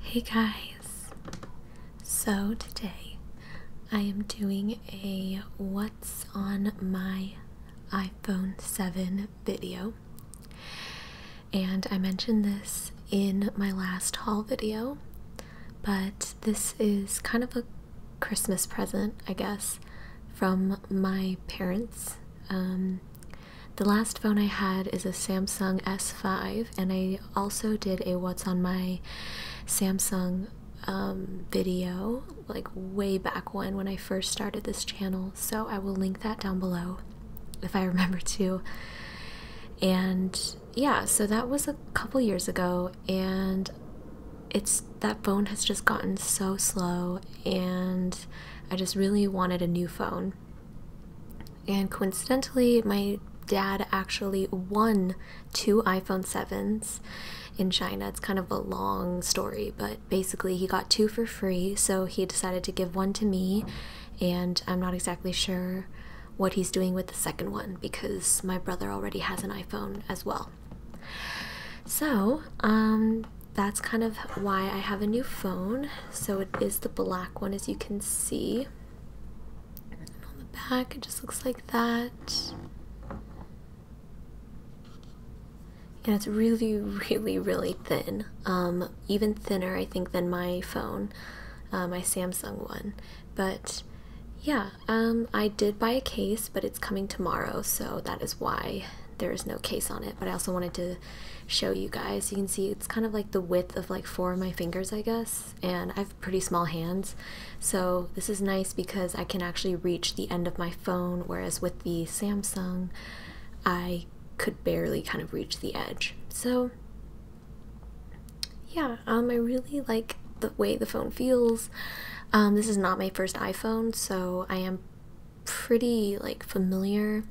Hey guys! So today I am doing a what's on my iPhone 7 video. And I mentioned this in my last haul video, but this is kind of a Christmas present, I guess, from my parents. Um, the last phone I had is a Samsung S5, and I also did a What's on My Samsung um, video like way back when, when I first started this channel. So I will link that down below if I remember to. And yeah, so that was a couple years ago, and it's that phone has just gotten so slow, and I just really wanted a new phone and coincidentally, my dad actually won two iPhone 7s in China. It's kind of a long story, but basically, he got two for free, so he decided to give one to me, and I'm not exactly sure what he's doing with the second one because my brother already has an iPhone as well. So, um, that's kind of why I have a new phone. So, it is the black one as you can see. back, it just looks like that. And it's really, really, really thin. Um, even thinner, I think, than my phone, uh, my Samsung one. But yeah, um, I did buy a case, but it's coming tomorrow, so that is why there is no case on it. But I also wanted to show you guys. You can see it's kind of like the width of like four of my fingers, I guess, and I have pretty small hands. So this is nice because I can actually reach the end of my phone, whereas with the Samsung, I could barely kind of reach the edge. So yeah, um, I really like the way the phone feels. Um, this is not my first iPhone, so I am pretty like familiar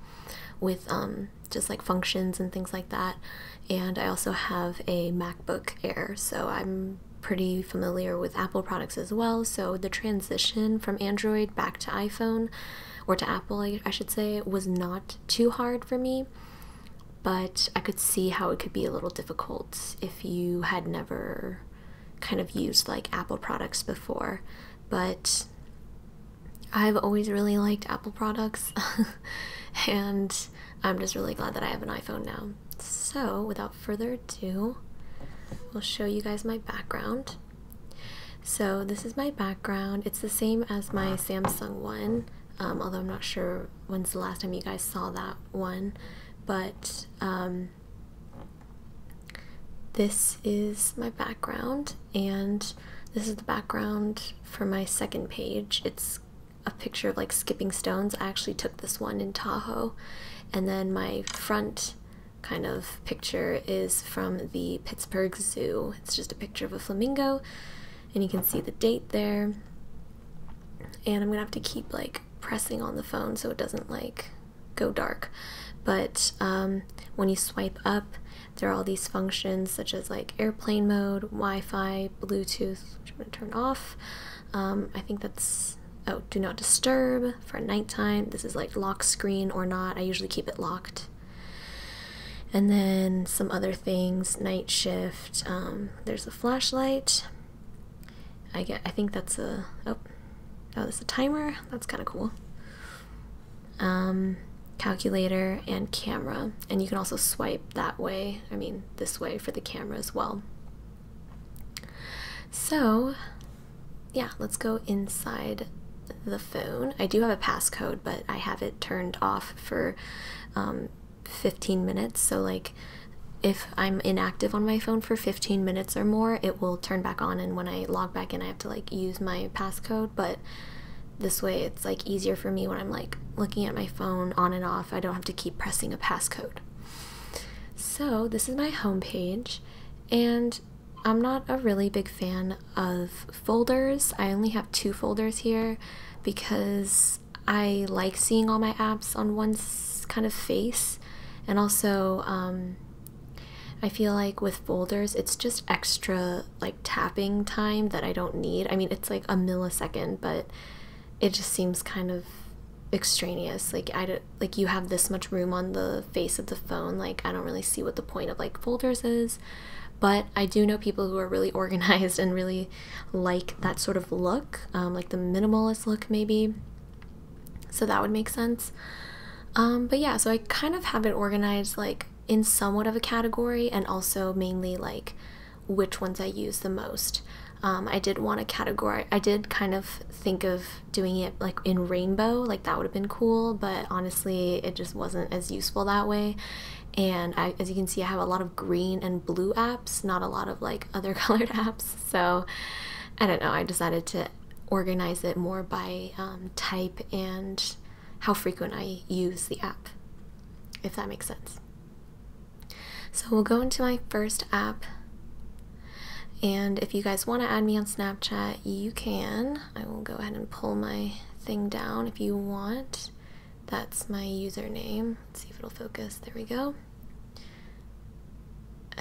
with um, just like functions and things like that. And I also have a MacBook Air, so I'm pretty familiar with Apple products as well. So the transition from Android back to iPhone or to Apple, I, I should say, was not too hard for me. But I could see how it could be a little difficult if you had never kind of used like Apple products before. But I've always really liked Apple products, and I'm just really glad that I have an iPhone now. So, without further ado, i will show you guys my background. So, this is my background. It's the same as my Samsung one, um, although I'm not sure when's the last time you guys saw that one. But um, this is my background, and this is the background for my second page. It's a picture of like skipping stones. I actually took this one in Tahoe, and then my front kind of picture is from the Pittsburgh Zoo. It's just a picture of a flamingo, and you can see the date there. And I'm gonna have to keep like pressing on the phone so it doesn't like go dark. But um, when you swipe up, there are all these functions such as like airplane mode, Wi-Fi, Bluetooth, which I'm going to turn off. Um, I think that's oh, do not disturb for nighttime. This is like lock screen or not. I usually keep it locked. And then some other things, night shift. Um, there's a flashlight. I get. I think that's a oh, oh, that's a timer. That's kind of cool. Um, calculator, and camera. And you can also swipe that way, I mean, this way for the camera as well. So, yeah, let's go inside the phone. I do have a passcode, but I have it turned off for um, 15 minutes. So, like, if I'm inactive on my phone for 15 minutes or more, it will turn back on. And when I log back in, I have to like use my passcode, but this way it's like easier for me when I'm like looking at my phone on and off. I don't have to keep pressing a passcode. So, this is my home page, and I'm not a really big fan of folders. I only have two folders here because I like seeing all my apps on one kind of face, and also um, I feel like with folders, it's just extra like tapping time that I don't need. I mean, it's like a millisecond, but it just seems kind of extraneous. Like I don't, like you have this much room on the face of the phone. Like I don't really see what the point of like folders is. But I do know people who are really organized and really like that sort of look, um, like the minimalist look maybe so that would make sense um, but yeah so i kind of have it organized like in somewhat of a category and also mainly like which ones i use the most um, i did want a category i did kind of think of doing it like in rainbow like that would have been cool but honestly it just wasn't as useful that way and as you can see i have a lot of green and blue apps not a lot of like other colored apps so i don't know i decided to organize it more by um, type and how frequent I use the app, if that makes sense. So we'll go into my first app. And if you guys want to add me on Snapchat, you can. I will go ahead and pull my thing down if you want. That's my username. Let's see if it'll focus. There we go.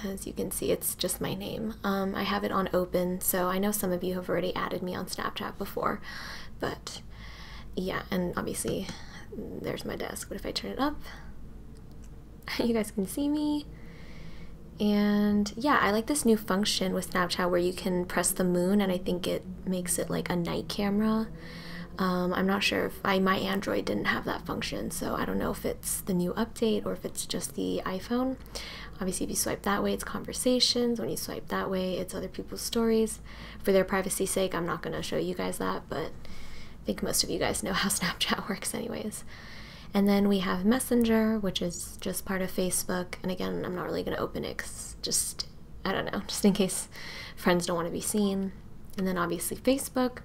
As you can see, it's just my name. Um, I have it on open, so I know some of you have already added me on Snapchat before, but yeah, and obviously there's my desk. But if I turn it up, you guys can see me. And yeah, I like this new function with Snapchat where you can press the moon, and I think it makes it like a night camera. Um, I'm not sure if my Android didn't have that function, so I don't know if it it's the new update or if it's just the iPhone. Obviously, if you swipe that way, it's conversations. When you swipe that way, it's other people's stories. For their privacy sake, I'm not going to show you guys that, but I think most of you guys know how Snapchat works, anyways. And then we have Messenger, which is just part of Facebook. And again, I'm not really going to open it just, I don't know, just in case friends don't want to be seen. And then obviously Facebook.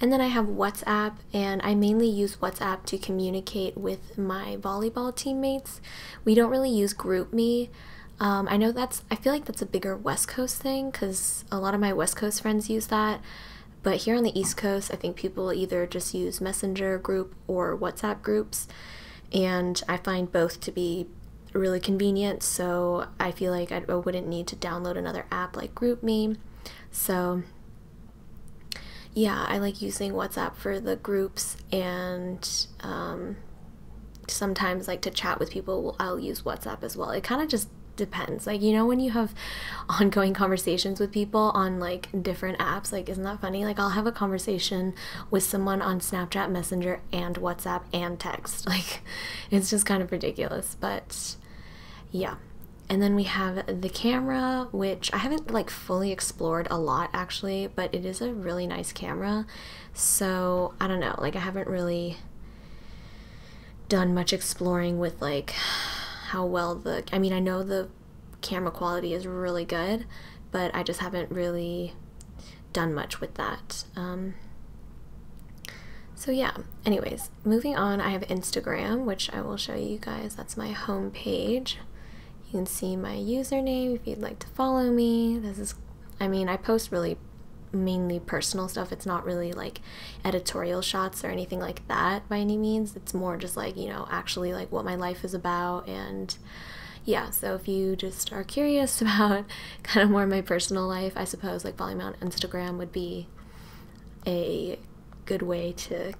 And then I have WhatsApp, and I mainly use WhatsApp to communicate with my volleyball teammates. We don't really use GroupMe. Um, I know that's, I feel like that's a bigger West Coast thing because a lot of my West Coast friends use that. But here on the East Coast, I think people either just use Messenger group or WhatsApp groups. And I find both to be really convenient, so I feel like I wouldn't need to download another app like GroupMe. So yeah, I like using WhatsApp for the groups and um, sometimes like to chat with people, I'll use WhatsApp as well. It kind of just depends. Like, you know, when you have ongoing conversations with people on like different apps, like, isn't that funny? Like, I'll have a conversation with someone on Snapchat Messenger and WhatsApp and text. Like, it's just kind of ridiculous. But yeah and then we have the camera which i haven't like fully explored a lot actually but it is a really nice camera so i don't know like i haven't really done much exploring with like how well the i mean i know the camera quality is really good but i just haven't really done much with that um, so yeah anyways moving on, I have Instagram, which I will show you guys. That's my home page. You can see my username if you'd like to follow me. This is, I mean, I post really mainly personal stuff. It's not really like editorial shots or anything like that by any means. It's more just like, you know, actually like what my life is about and yeah, so if you just are curious about kind of more my personal life, I suppose like following on Instagram would be a good way to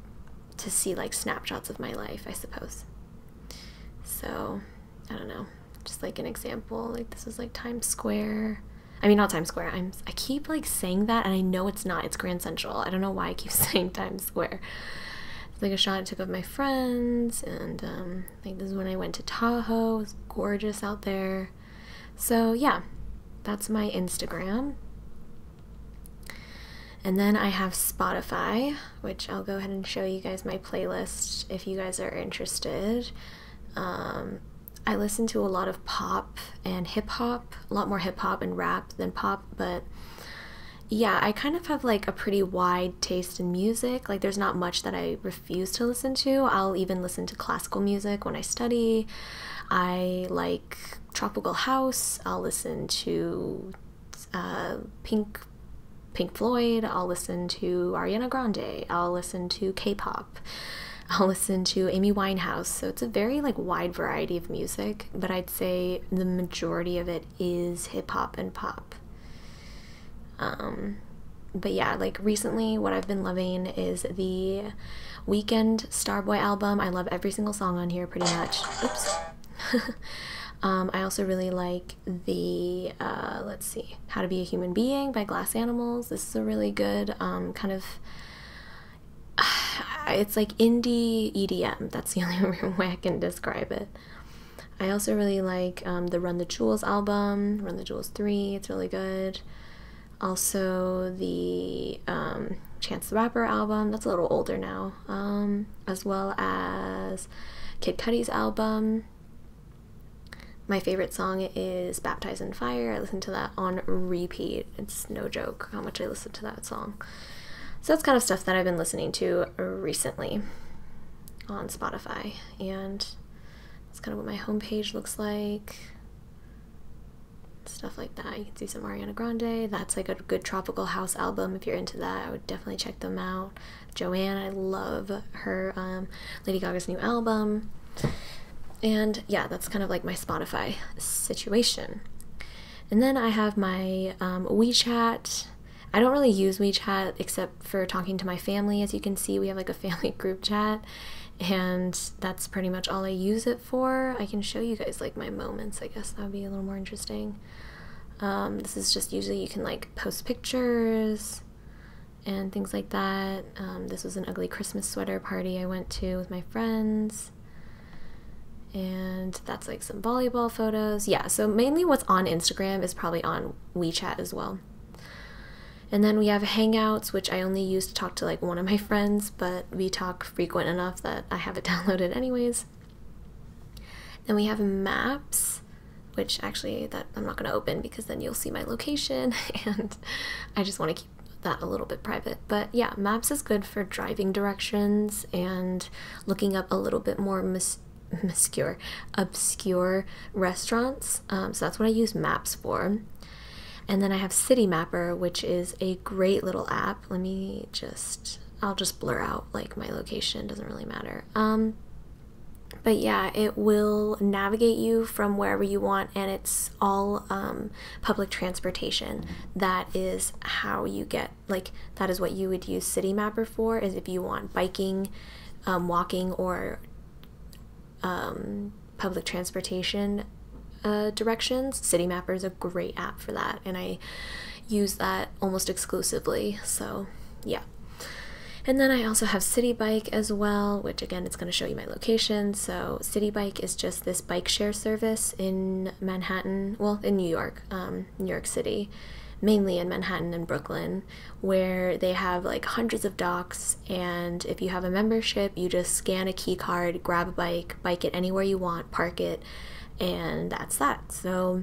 to see like snapshots of my life, I suppose. So, I don't know. Just like an example, like this is like Times Square. I mean, not Times Square. I'm I keep like saying that and I know it's not. It's Grand Central. I don't know why I keep saying Times Square. It's like a shot I took of my friends and um like this is when I went to Tahoe. It was gorgeous out there. So, yeah, that's my Instagram. And then I have Spotify, which I'll go ahead and show you guys my playlist if you guys are interested. Um, I listen to a lot of pop and hip hop, a lot more hip hop and rap than pop, but yeah, I kind of have like a pretty wide taste in music. Like, there's not much that I to listen to. I'll even listen to classical music when I study. I like tropical house. I'll listen to uh, Pink Pink Floyd. I'll listen to Ariana Grande. I'll listen to K-pop. I'll listen to Amy Winehouse. So it's a very like wide variety of music, but I'd say the majority of it is hip hop and pop. Um, but yeah, like recently, what I've been loving is the Weekend Starboy album. I love every single song on here, pretty much. Oops. um, I also really like the uh, let's see, How to Be a Human Being by Glass Animals. This is a really good um, kind of. it's like indie EDM. That's the only way I can describe it. I also really like um, the Run the Jewels album, Run the Jewels 3. It's really good also the um, Chance the Rapper album, that's a little older now, um, as well as Kid Cudi's album. My favorite song is Baptized in Fire. I listen to that on repeat. It's no joke how much I listen to that song. So that's kind of stuff that I've been listening to recently on Spotify. And that's kind of what my homepage looks like. Stuff like that. You can see some Ariana Grande. That's like a good tropical house album. If you're into that, I would definitely check them out. Joanne, I love her um, Lady Gaga's new album. And yeah, that's kind of like my Spotify situation. And then I have my um, WeChat. I don't really use WeChat except for talking to my family. As you can see, we have like a family group chat, and that's pretty much all I use it for. I can show you guys like my moments, I guess that would be a little more interesting. Um, this is just usually you can like post pictures and things like that. Um, this was an ugly Christmas sweater party I went to with my friends and that's like some volleyball photos. Yeah, so mainly what's on Instagram is probably on WeChat as well. And then we have Hangouts, which I only use to talk to like one of my friends, but we talk frequent enough that I have it downloaded anyways. Then we have Maps, which actually that I'm not going to open because then you'll see my location and I just want to keep that a little bit private. But yeah, Maps is good for driving directions and looking up a little bit more mis- obscure restaurants. Um, so that's what I use maps for. And then I have City Mapper, which is a great little app. Let me just, I'll just blur out like my location, doesn't really matter. Um, but yeah, it will navigate you from wherever you want, and it's all um, public transportation. That is how you get, like, that is what you would use City Mapper for, is if you want biking, walking, or um, public transportation uh, directions, City Mapper is a great app for that, and I use that almost exclusively. So, yeah. And then I also have City Bike as well, which again, it's going to show you my location. So, City Bike is just this bike share service in Manhattan, well, in New York, um, New York City, mainly in Manhattan and Brooklyn where they have like hundreds of docks and if you have a membership you just scan a key card, grab a bike, bike it anywhere you want, park it, and that's that. So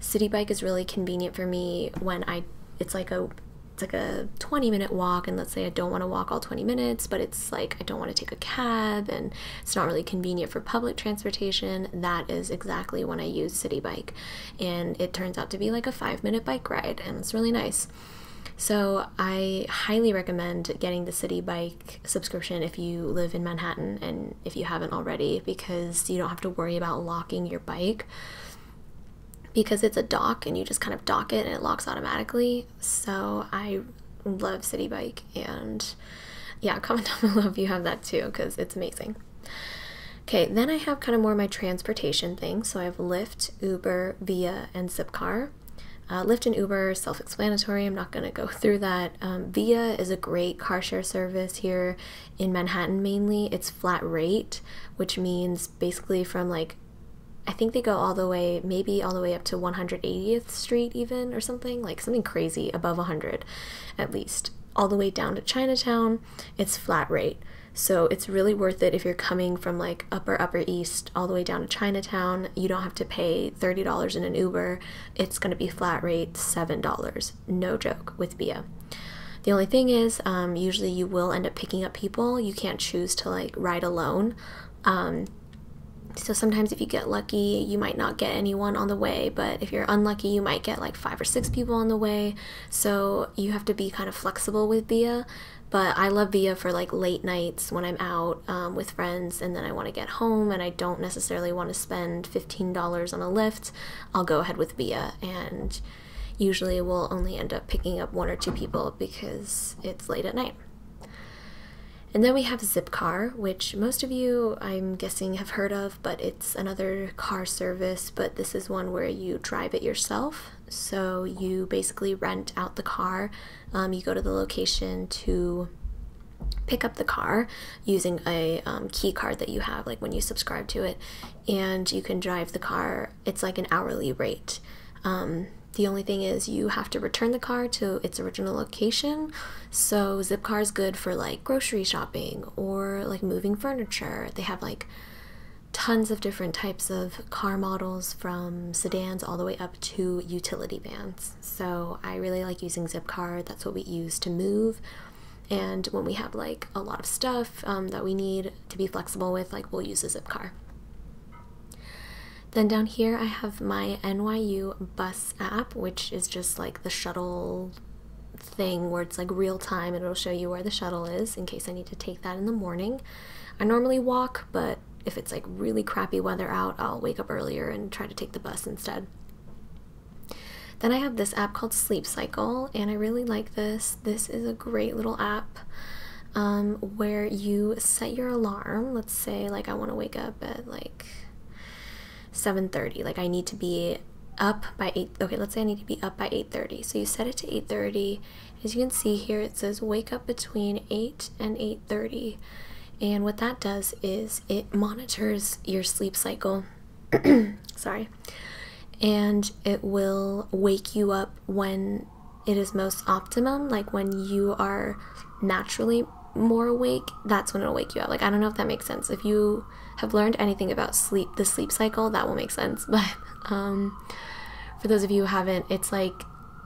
City Bike is really convenient for me when I it's like a it's like a 20 minute walk and let's say I don't want to walk all 20 minutes but it's like I don't want to take a cab and it's not really convenient for public transportation that is exactly when I use City Bike and it turns out to be like a five minute bike ride, and it's really nice. So, I highly recommend getting the City Bike subscription if you live in Manhattan and if you haven't already, because you don't have to worry about locking your bike because it's a dock and you just kind of dock it and it locks automatically. So, I love City Bike and yeah, comment down below if you have that too because it's amazing. Okay, then I have kind of more my transportation things. So I have Lyft, Uber, Via, and Zipcar. Uh, Lyft and Uber self explanatory. I'm not going to go through that. Um, Via is a great car share service here in Manhattan mainly. It's flat rate, which means basically from like I think they go all the way, maybe all the way up to 180th Street, even or something like something crazy above 100 at least all the way down to Chinatown, it's flat rate. So it's really worth it if you're coming from like upper upper east all the way down to Chinatown. You don't have to pay $30 in an Uber. It's going to be flat rate $7. No joke with Bia. The only thing is, um, usually you will end up picking up people. You can't choose to like ride alone. Um, so sometimes if you get lucky, you might not get anyone on the way, but if you're unlucky, you might get like five or six people on the way so you have to be kind of flexible with Via, But I love Via for like late nights when I'm out um, with friends and then I want to get home and I don't necessarily want to spend $15 on a lift. I'll go ahead with Via, and usually we'll only end up picking up one or two people because it's late at night. And then we have Zipcar, which most of you, I'm guessing, have heard of but it's another car service. But this is one where you drive it yourself. So you basically rent out the car, um, you go to the location to pick up the car using a um, key card that you have, like when you subscribe to it, and you can drive the car. It's like an hourly rate. Um, the only thing is you have to return the car to its original location. So Zipcar is good for like grocery shopping or like moving furniture. They have like tons of different types of car models from sedans all the way up to utility vans. So I really like using Zipcar. That's what we use to move. And when we have like a lot of stuff um, that we need to be flexible with, like we'll use a Zipcar. Then down here, I have my NYU bus app, which is just like the shuttle thing where it's like real time and it'll show you where the shuttle is in case I need to take that in the morning. I normally walk, but if it's like really crappy weather out, I'll wake up earlier and try to take the bus instead. Then I have this app called Sleep Cycle, and I really like this. This is a great little app um, where you set your alarm. Let's say, like, I want to wake up at like 7.30 like i need to be up by 8 okay let's say i need to be up by 8.30 so you set it to 8.30 as you can see here it says wake up between 8 and 8.30 and what that does is it monitors your sleep cycle sorry and it will wake you up when it is most optimum like when you are naturally more awake that's when it'll wake you up like i don't know if that makes sense if you have learned anything about sleep, the sleep cycle, that will make sense. But um, for those of you who haven't, it's like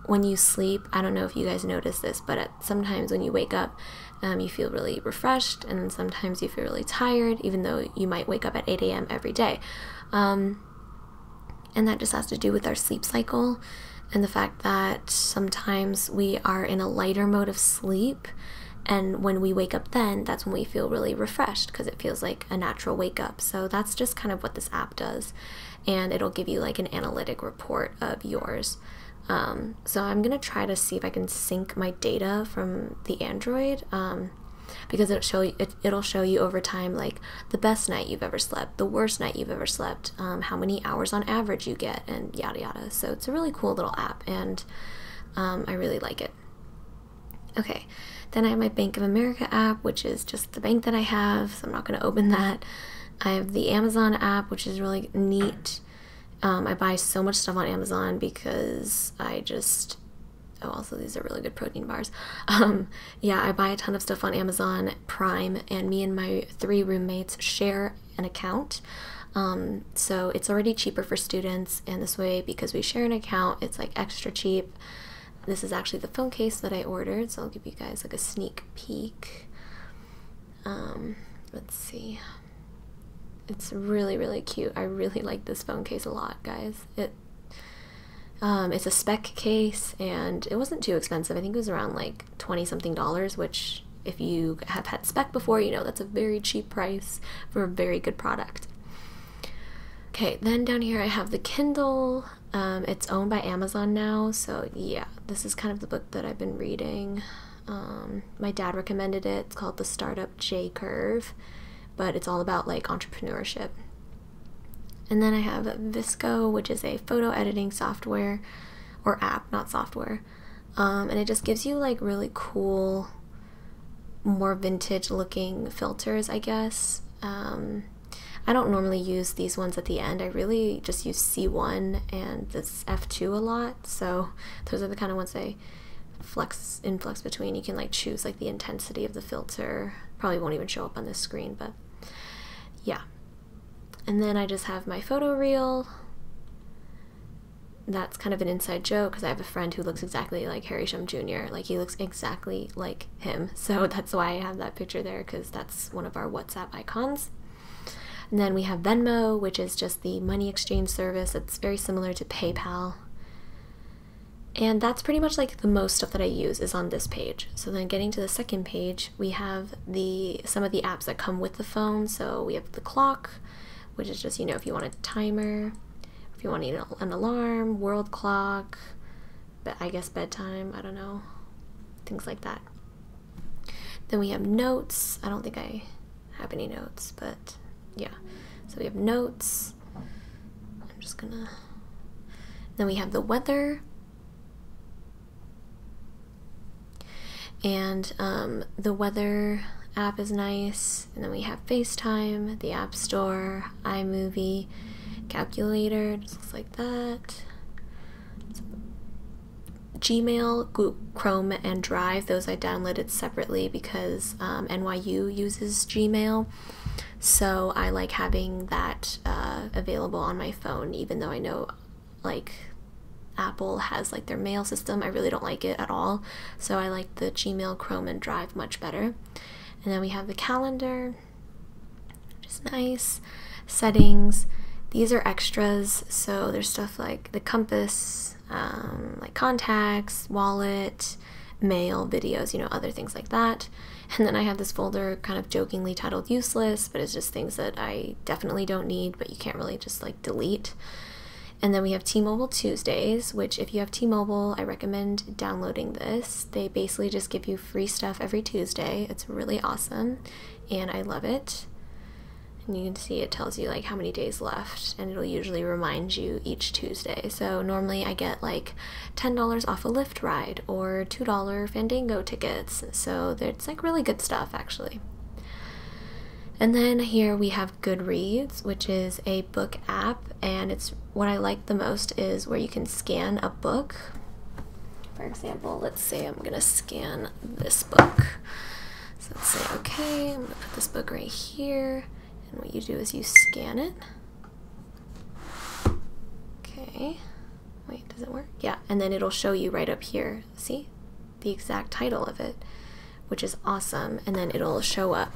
when you sleep, I don't know if you guys notice this, but sometimes when you wake up, um, you feel really refreshed, and sometimes you feel really tired, even though you might wake up at 8 a.m. every day. Um, and that just has to do with our sleep cycle and the fact that sometimes we are in a lighter mode of sleep and when we wake up, then that's when we feel really refreshed because it feels like a natural wake up. So that's just kind of what this app does. And it'll give you like an analytic report of yours. Um, so I'm going to try to see if I can sync my data from the Android. Um, because it'll show you, over time like the best night you've ever slept, the worst night you've ever slept, um, how many hours on average you get, and yada yada. So it's a really cool little app and um, I really like it. Okay, then I have my Bank of America app, which is just the bank that I have, so I'm not going to open that. I have the Amazon app, which is really neat. Um, I buy so much stuff on Amazon because I just. Oh, also, these are really good protein bars. Um, yeah, I buy a ton of stuff on Amazon Prime, and me and my three roommates share an account. Um, so it's already cheaper for students, and this way, because we share an account, it's like extra cheap. This is actually the phone case that I ordered, so I'll give you guys like a sneak peek. Um, let's see. It's really, really cute. I really like this phone case a lot, guys. It um, it's a spec case, and it wasn't too expensive. I think it was around like 20 something dollars, which if you have had spec before, you know that's a very cheap price for a very good product. Okay, then down here I have the Kindle. Um, it's owned by Amazon now, so yeah, this is kind of the book that I've been reading. Um, my dad recommended it. It's called The Startup J Curve, but it's all about like entrepreneurship. And then I have Visco, which is a photo editing software or app, not software. Um, and it just gives you like really cool more vintage looking filters i guess um, i don't normally use these ones at the end i really just use c1 and this f2 a lot so those are the kind of ones i flex influx between you can like choose like the intensity of the filter probably won't even show up on this screen but yeah and then I just have my photo reel. That's kind of an inside joke because I have a friend who looks exactly like Harry Shum Jr. Like he looks exactly like him. So that's why I have that picture there because that's one of our WhatsApp icons. And then we have Venmo, which is just the money exchange service. It's very similar to PayPal. And that's pretty much like the most stuff that I use is on this page. So then getting to the second page, we have the some of the apps that come with the phone. So we have the clock, which is just you know if you want a timer, if you want an alarm, world clock, but I guess bedtime. I don't know, things like that. Then we have notes. I don't think I have any notes, but yeah. So we have notes. I'm just gonna. Then we have the weather. And um, the weather app is nice. And then we have FaceTime, the App Store, iMovie, Calculator, just looks like that. Gmail, Chrome, and Drive, those I downloaded separately because um, NYU uses Gmail. So I like having that uh, available on my phone, even though I know like Apple has like their mail system. I really don't like it at all. So I like the Gmail, Chrome, and Drive much better. And then we have the calendar, which is nice. Settings. These are extras. So there's stuff like the compass, um, like contacts, wallet, mail, videos, you know, other things like that. And then I have this folder kind of jokingly titled useless but it's just things that I definitely don't need, but you can't really just like delete. And then we have T Mobile Tuesdays, which, if you have T Mobile, I recommend downloading this. They basically just give you free stuff every Tuesday. It's really awesome, and I love it. And you can see it tells you like how many days left, and it'll usually remind you each Tuesday. So normally I get like $10 off a Lyft ride or $2 Fandango tickets. So they're it's like really good stuff, actually. And then here we have Goodreads, which is a book app, and it's what I like the most is where you can scan a book. For example, let's say I'm gonna scan this book. So let's say, okay, I'm gonna put this book right here, and what you do is you scan it. Okay, Wait, does it work? Yeah, and then it'll show you right up here. See? The exact title of it, which is awesome. And then it'll show up.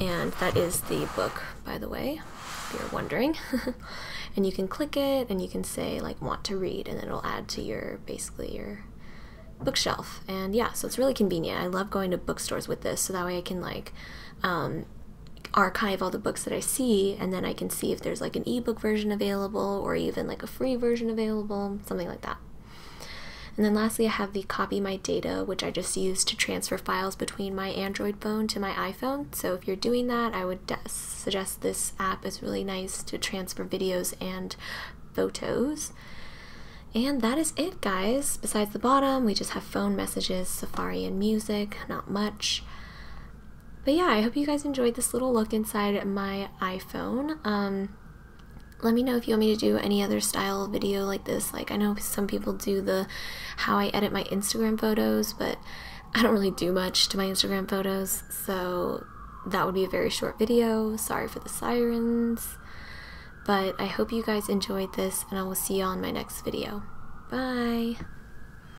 And that is the book, by the way, if you're wondering. and you can click it and you can say, like, want to read, and it'll add to your basically your bookshelf. And yeah, so it's really convenient. I love going to bookstores with this, so that way I can, like, um, archive all the books that I see, and then I can see if there's like an e book version available or even like a free version available, something like that. And then lastly, I have the copy my data, which I just use to transfer files between my Android phone to my iPhone. So if you're doing that, I would suggest this app is really nice to transfer videos and photos. And that is it, guys. Besides the bottom, we just have phone messages, Safari, and music, not much but yeah, I hope you guys enjoyed this little look inside my iPhone. Um, let me know if you want me to do any other style video like this. Like I know some people do the how I edit my Instagram photos, but I don't really do much to my Instagram photos, so that would be a very short video. Sorry for the sirens. But I hope you guys enjoyed this, and I will see you all on my next video. Bye!